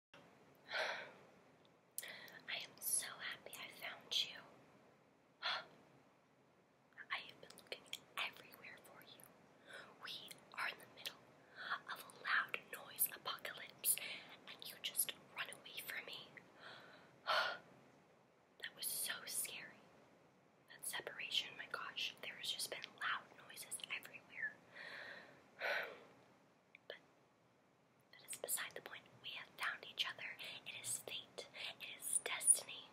I am so happy I found you. I have been looking everywhere for you. We are in the middle of a loud noise apocalypse, and you just run away from me. That was so scary. That separation, my gosh, there has just been loud noises everywhere. But that is beside the point. We have found each other. It is fate. It is destiny.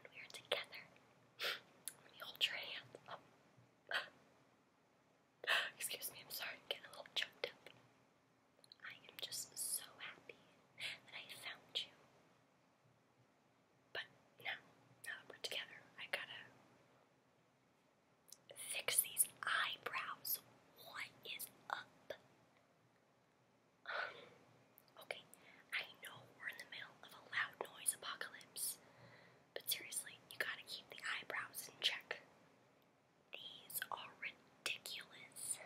And we are together. Let me hold your hand. Oh. Excuse me, I'm sorry. getting a little choked up. I am just so happy that I found you. But now, now that we're together, I gotta Fix these eyebrows. What is up? okay, I know we're in the middle of a loud noise apocalypse, but seriously, you gotta keep the eyebrows in check. These are ridiculous.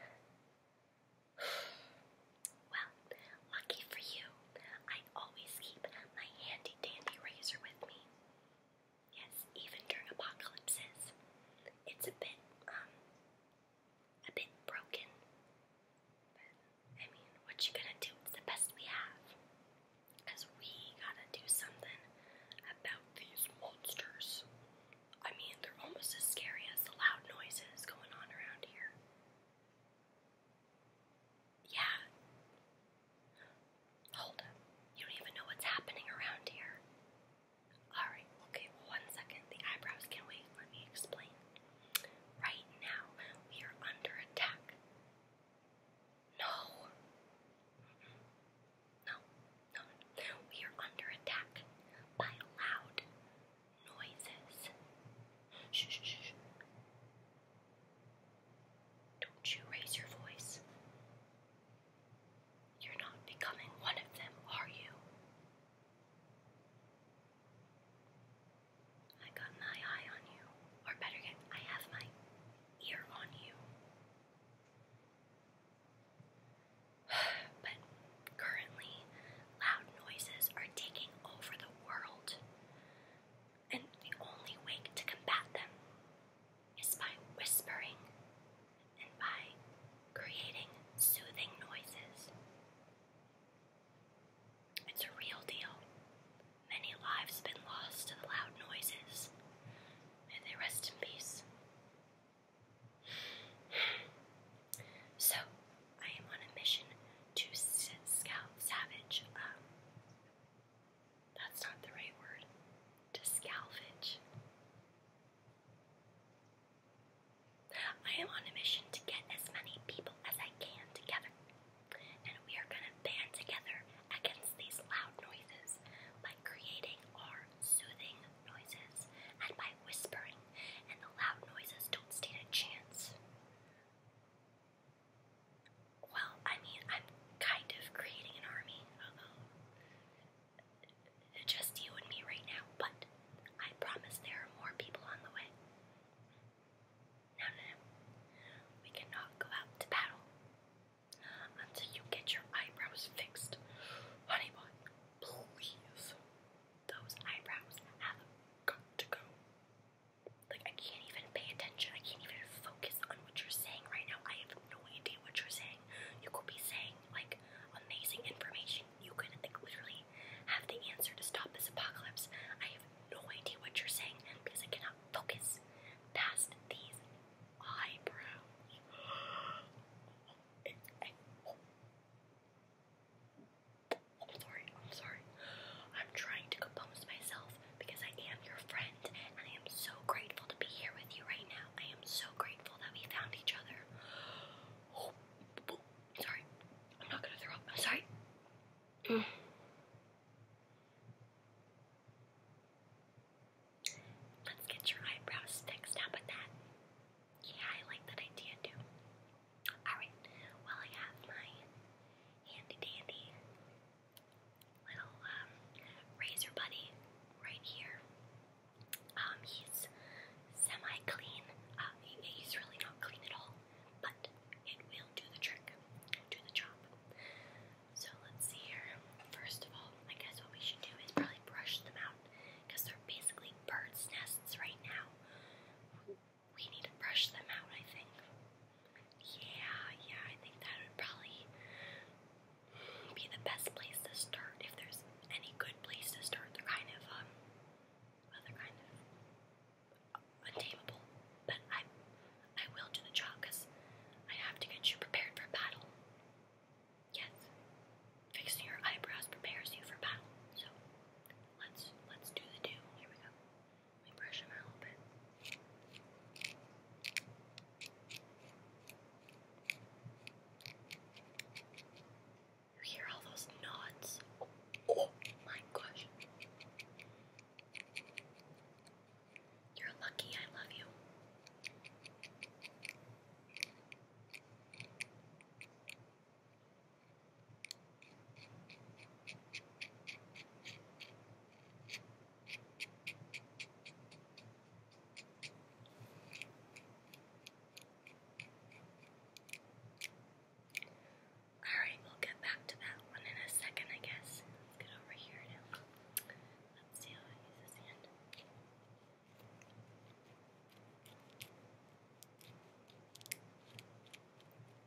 well, lucky for you, I always keep my handy dandy razor with me. Yes, even during apocalypses, it's a bit, um, a bit broken. But, I mean, what you gonna do? It's the best we have. Because we gotta do something about these monsters. I mean, they're almost as scary as the loud noises going on around here. Yeah. Hold up. You don't even know what's happening around here. Alright, okay, one second. The eyebrows can wait. Let me explain. Right now, we are under attack. No. Mm-hmm. No, no, We are under attack by loud noises. Shh, shh, shh. Don't you raise your voice. You're not becoming one of them, are you? I got my eye on you, or better yet, I have my ear on you. But currently, loud noises are taking over the world and the only way to combat them is by whispering and by creating soothing noises. It's a real deal. Many lives have been lost to the loud noises. May they rest in peace. So, I am on a mission to scout savage um, that's not the right word. To salvage. I am on a mission to get as many people as I can together. And we are going to band together against these loud noises by creating our soothing noises and by whispering. And the loud noises don't stand a chance. Well, I mean, I'm kind of creating an army, although just you and me right now, but I promise there are more people on the way. No, no, We cannot go out to battle until you get your eyebrows fixed. Honey please. Those eyebrows have got to go like I can't even pay attention. I can't even focus on what you're saying right now. I have no idea what you're saying. You could be saying like amazing information. You could like literally have the answer to stop this apocalypse. I have no idea what you're saying because I cannot focus past these eyebrows. sorry, I'm sorry. I'm trying to compose myself because I am your friend and I am so grateful to be here with you right now. I am so grateful that we found each other. Oh, oh, sorry. I'm not gonna throw up. sorry. Let's get your eyebrows fixed. How about that? Yeah, I like that idea too. Alright, well, I have my handy dandy little um, razor buddy right here. Um, he's semi-clean. Uh, he, he's really not clean at all, but it will do the trick, do the job. So let's see here. First of all, I guess what we should do is probably brush them out because they're basically birds' nests right now. We need to brush them out, I think. Yeah, yeah, I think that would probably be the best place to start if there's any good place to start. They're kind of, um, they're kind of untamable, but I, I will do the job because I have to get you prepared for battle. Yes, fixing your eyebrows prepares you for battle. So let's let's do the do. Here we go. Let me brush them a little bit. You hear all those knots? oh my gosh. You're lucky I love you. Alright, we'll get back to that one in a second, I guess. Let's get over here now. Let's see how I use this hand.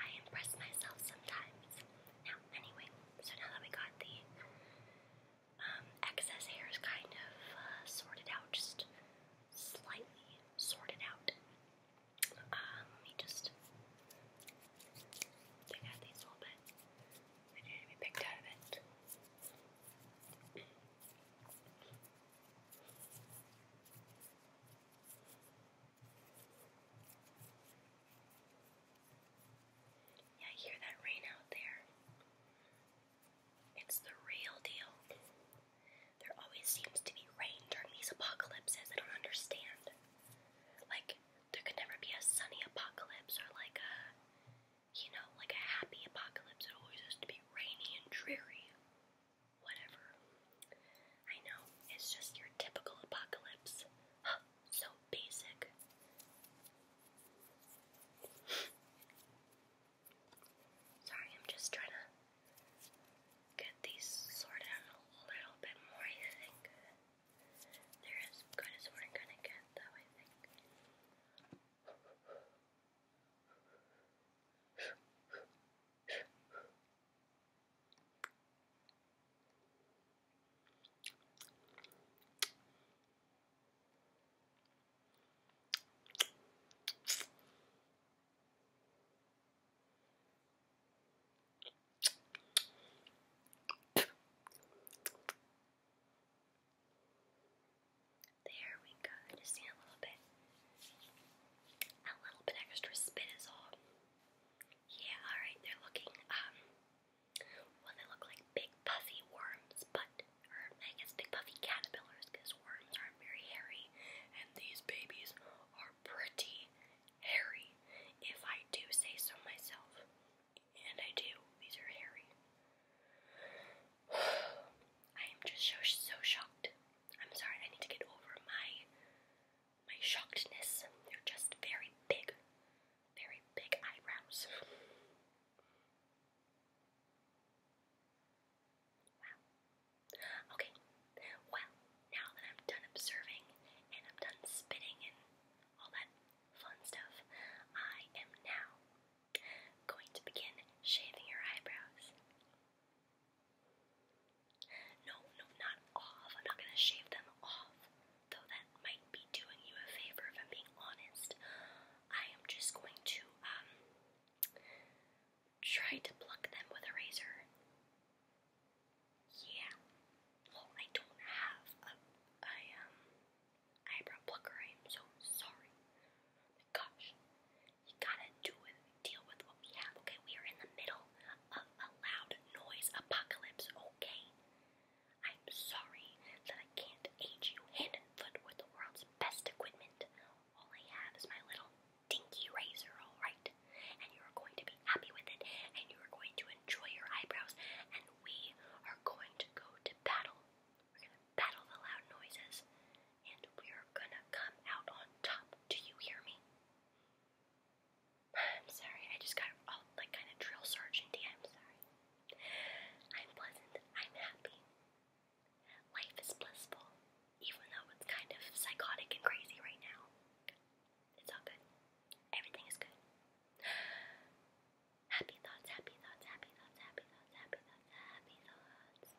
I impress myself sometimes. Now, anyway, so now that we got the um, excess hairs kind of uh, sorted out, just slightly sorted out, um, let me just pick out these little bit. They need to be picked out of it. I hear that rain out there. It's the real deal. There always seems to be rain during these apocalypses. I don't understand. Like, there could never be a sunny apocalypse or like a, you know, like a happy apocalypse. It always has to be rainy and dreary whatever. I know, it's just your typical apocalypse. so basic. Sorry, I'm just trying to get these sorted a little bit more, I think. They're as good as we're gonna get, though, I think. There we go. Just a little bit a little bit extra spin is all. Yeah, alright, they're looking, um, well, they look like big puffy worms, but, I guess big puffy caterpillars, worms aren't very hairy, and these babies are pretty hairy, if I do say so myself. And I do, these are hairy. I am just so, so shocked I'm sorry, I need to get over my my shockedness. They're just very big, very big eyebrows. Wow. Okay. Well, now that I'm done observing and I'm done spitting and all that fun stuff, I am now going to begin shaving your eyebrows. No, no, not off. I'm not gonna shave them off. Though that might be doing you a favor if I'm being honest. I am just going to, um, try to pluck them with a razor. Yeah. Well, I don't have a, um, eyebrow plucker. I am so sorry. my gosh. You gotta deal with what we have, okay? We are in the middle of a loud noise apocalypse, okay? I'm sorry that I can't aid you hand and foot with the world's best equipment. All I have is my little dinky razor, alright? And you're going to be happy with it, and you're going to enjoy your eyebrows, and we are going to go to battle. We're gonna battle the loud noises and we're gonna come out on top. Do you hear me? I'm sorry, I just got all like kind of drill sergeanty. I'm sorry. I'm pleasant. I'm happy. Life is blissful, even though it's kind of psychotic and crazy right now. It's all good. Everything is good. Happy thoughts, happy thoughts, happy thoughts, happy thoughts, happy thoughts, happy thoughts.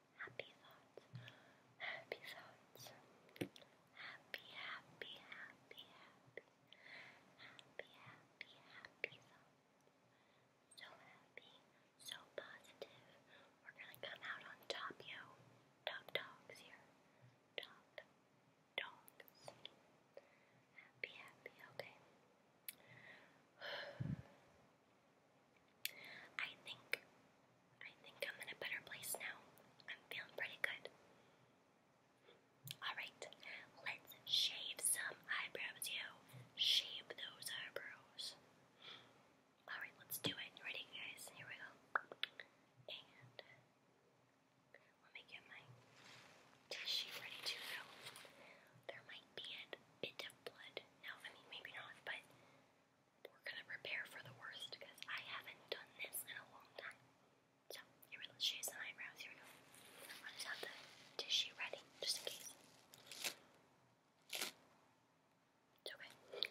happy thoughts, happy thoughts, happy, happy, happy, happy, happy, happy, happy thoughts. So happy, so positive. We're gonna come out on top, yo. Top dogs here. Top dogs. Happy, happy, okay. I think I think I'm in a better place now. I'm feeling pretty good. Alright, let's shave some eyebrows, yo. Shave those eyebrows. Alright, let's do it. Ready guys? Here we go. And let me get my tissue ready to go. There might be a bit of blood. No, I mean maybe not, but we're gonna prepare for the worst because I haven't done this in a long time. So, here we go. Shoes and eyebrows. Here we go. I the tissue ready, just in case. It's Okay,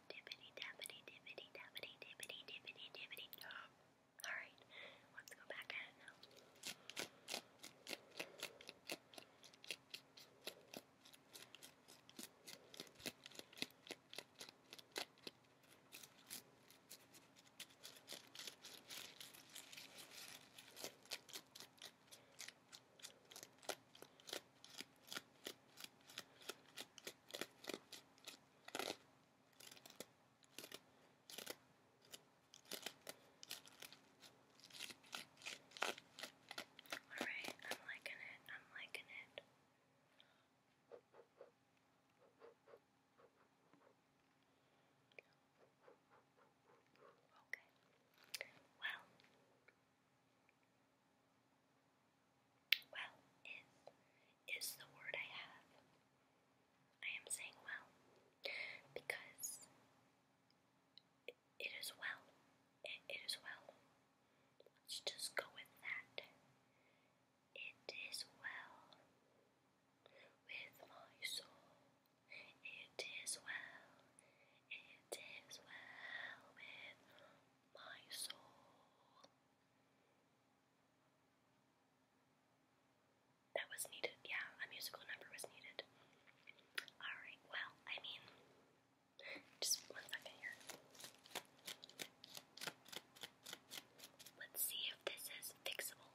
dippity dappity dippity dappity dippity dippity dippity Alright, let's go back now. Alright, I'm liking it, I'm liking it. Okay. Well, well is is the word I have. I am saying well because it is well. it is well. Let's just go with that. It is well with my soul. It is well. It is well with my soul. That was needed, yeah, a musical number was needed. Alright, well, I mean, just one second here. Let's see if this is fixable.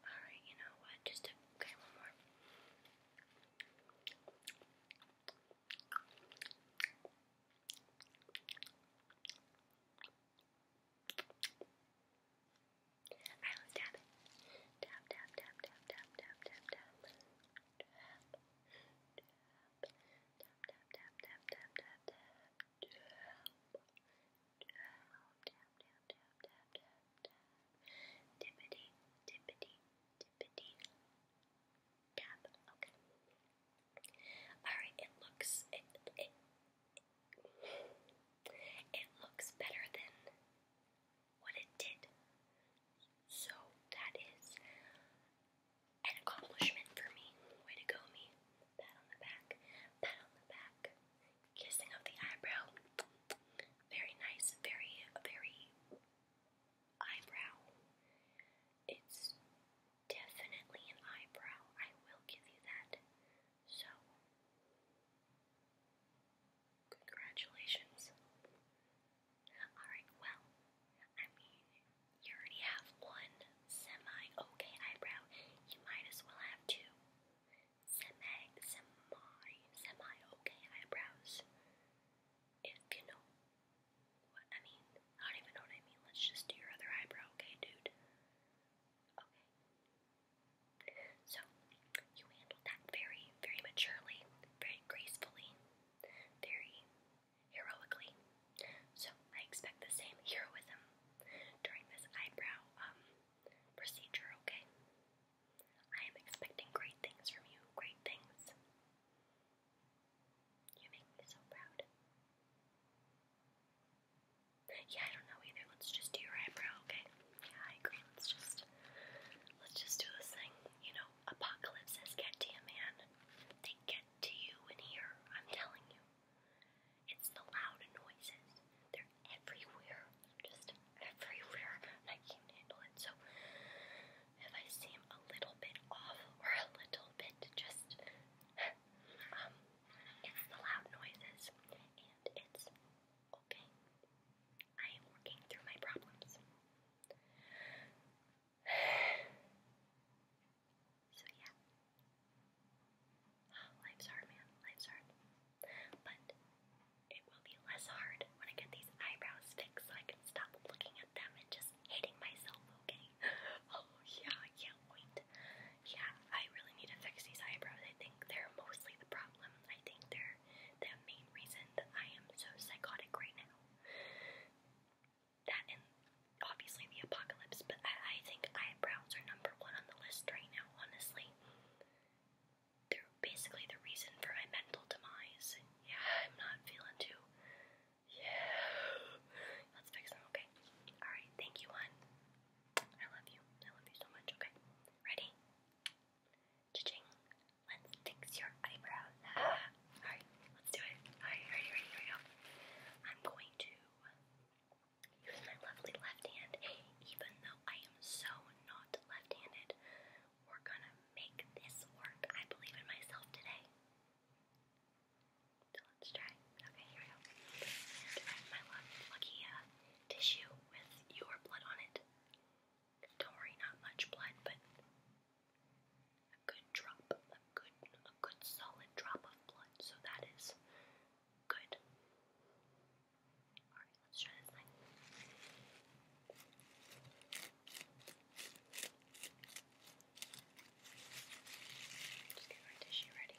Alright, you know what? Just okay, one more. Alright, let's tap, tap, tap, tap, tap. Tap, tap, tap, tap, tap, tap, tap, tap, tap, Dippity, dippity, dippity. Tap. Okay. Alright, it looks it it it looks better than what it did. So that is an accomplishment for me. Way to go, me. Pat on the back. Pat on the back kissing of the eyebrow. Very nice, very, very eyebrow. It's definitely an eyebrow, I will give you that. So, congratulations. Alright, well, I mean, you already have one semi okay eyebrow. You might as well have two semi, semi, semi okay eyebrows. If you know what I mean. I don't even know what I mean. Let's just do your other eyebrow, okay, dude? Okay. So, you handled that very, very maturely, very gracefully, very heroically. So, I expect the same heroism during this eyebrow um procedure, okay? I am expecting great things from you, great things. You make me so proud. Yeah, I don't know either. Let's just do your eyebrow, okay? Yeah, I Let's just let's just do this thing. You know, apocalypse says to you, man. They get to you in here, I'm telling you. It's the loud noises. They're everywhere. Just everywhere. And I can't handle it. So if I seem a little bit off or a little bit just um it's the loud noises and it's okay. I am working through my problems. So yeah. life's hard, man. Life's hard. But it will be less hard when I get these eyebrows fixed so I can stop looking at them and just hating myself, okay? Oh yeah, I can Yeah, I really need to fix these eyebrows. I think they're mostly the problem. I think they're the main reason that I am so psychotic right now. That obviously the apocalypse, but I, think eyebrows are number one on the list right now, honestly. They're basically the reason for my mental demise. Yeah, I'm not feeling too. Yeah. Let's fix them, okay? Alright, thank you, hon. I love you. I love you so much, okay? Ready? ching Let's fix your eyebrows. Alright, let's do it. Alright, ready, ready, here we go. I'm going to Use my lovely left hand, even though I am so not left-handed. We're gonna make this work. I believe in myself today. So let's try. Okay, here we go. And wrap lucky tissue with your blood on it. Don't worry, not much blood, but a good drop, a good, a good solid drop of blood. So that is Good. Alright, let's try this line. Just get my tissue ready.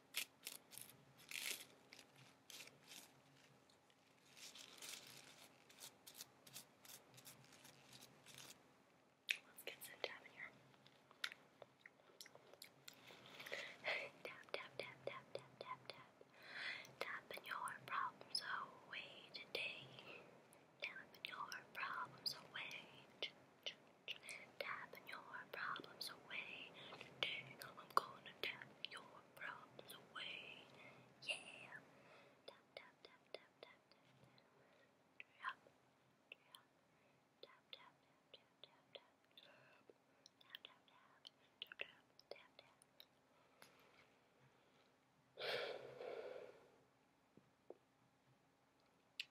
Let's get some tap here. tap, tap, tap, tap, tap, tap, tap. Tapping your problems away today. Tapping your problems away. Tapping your problems away. Today I'm gonna tap your problems away. Yeah. Tap, tap, tap, tap, tap, tap. tap, tap, tap, tap, tap. Tap, tap, tap, tap, tap, tap, tap.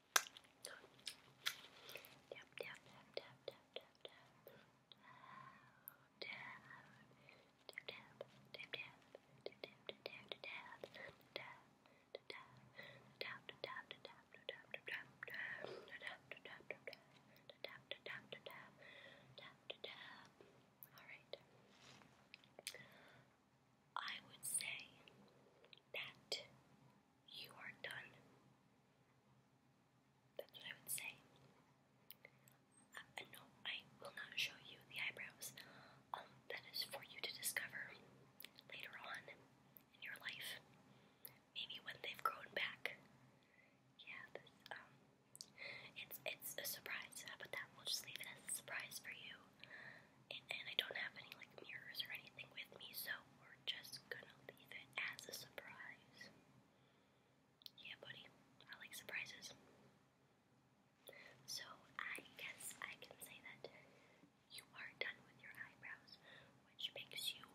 Tap, tap, tap, tap, tap, tap, tap. Tap, tap, tap, tap, tap, tap, tap, tap, tap, tap. Alright. I would say that you are done. That's what I would say. Uh, no, I will not show you the eyebrows. Um, that is for you to discover later on in your life. Maybe when they've grown back. Yeah, um, it's, it's a surprise. How that? We'll just leave it as a surprise for you and, I don't have any like mirrors or anything with me, so we're just gonna leave it as a surprise. Yeah, buddy, I like surprises. So I guess I can say that you are done with your eyebrows, which makes you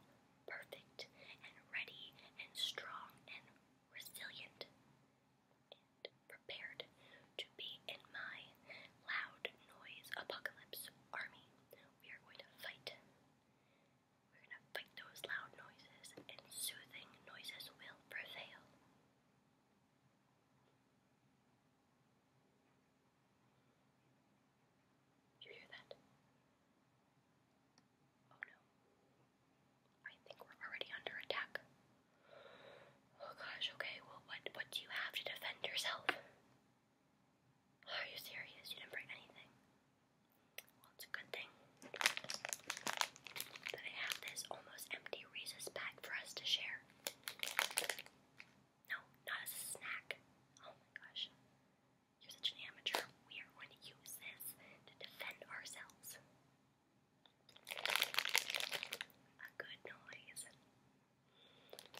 perfect and ready and strong and resilient prepared to be in my loud noise apocalypse army. We are going to fight. We're going to fight those loud noises, and soothing noises will prevail. You hear that? Oh no. I think we're already under attack. Oh gosh, okay, well what what do you have to defend yourself? Are you serious? You didn't bring anything. Well it's a good thing that I have this almost empty Reese's bag for us to share. No, not as a snack. Oh my gosh. You're such an amateur. We are going to use this to defend ourselves a good noise.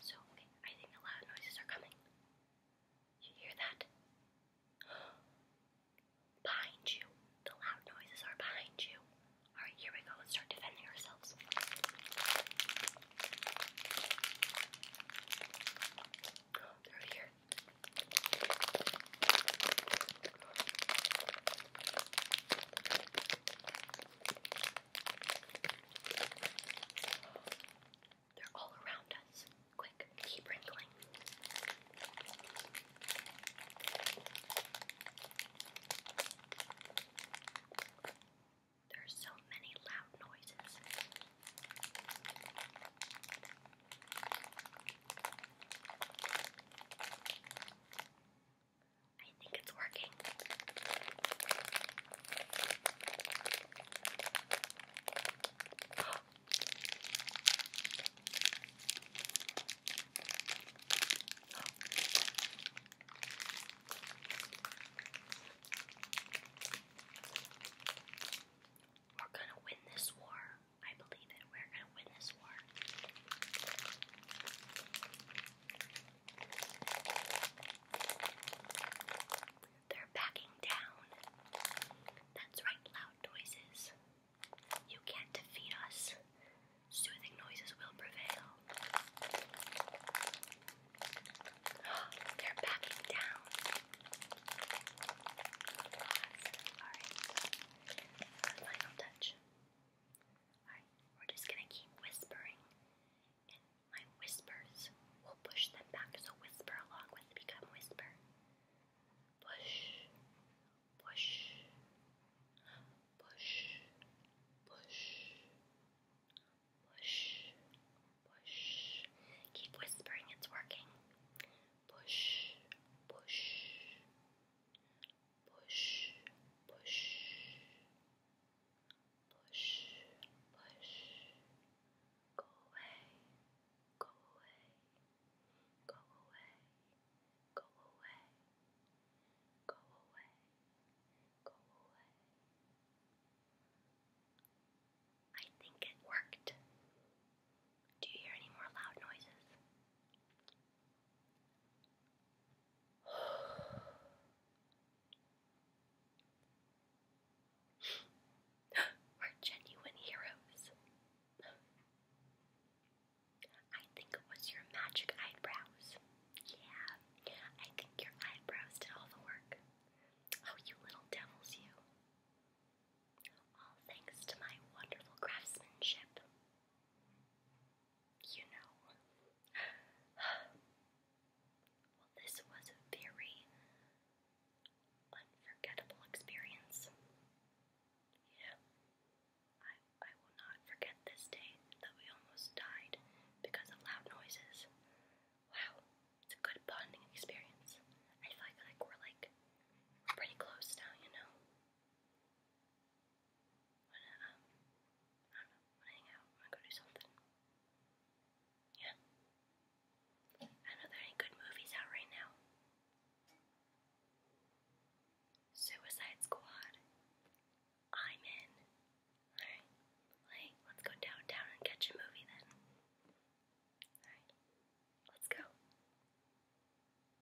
So, I think the loud noises are coming. You hear that? behind you. The loud noises are behind you. Alright, here we go. Let's start defending ourselves. over here. They're all around us. Quick, keep wrinkling. There are so many loud noises. I think it's working. We're gonna win this war. I believe it. We're they're backing down. That's right, loud noises. You can't defeat us. Soothing noises will prevail. They're backing down. Alright. Final touch. Alright, we're just gonna keep whispering, and my whispers will push them back. So whisper along with become whisper. Push, push, push, push, push, push. Keep whispering, it's working. Push, push, push, push, push, push, go away, go away, go away, go away, go away, go away. I think it worked. Do you hear any more loud noises? We're genuine heroes. I think it was your magic eyebrows. Yeah, I think your eyebrows did all the work. Oh, you little devils, you. All thanks to my wonderful craftsmanship you know. well, this was a very unforgettable experience. Yeah. I, I will not forget this day that we almost died because of loud noises. Wow, it's a good bonding experience. I feel like, we're like pretty close now, you know. Wanna, um, I don't know, wanna hang out, wanna go do something. Yeah. I know there are good movies out right now. Suicide Squad. I'm in. Alright. Like, let's go downtown and catch a movie then. Alright. Let's go.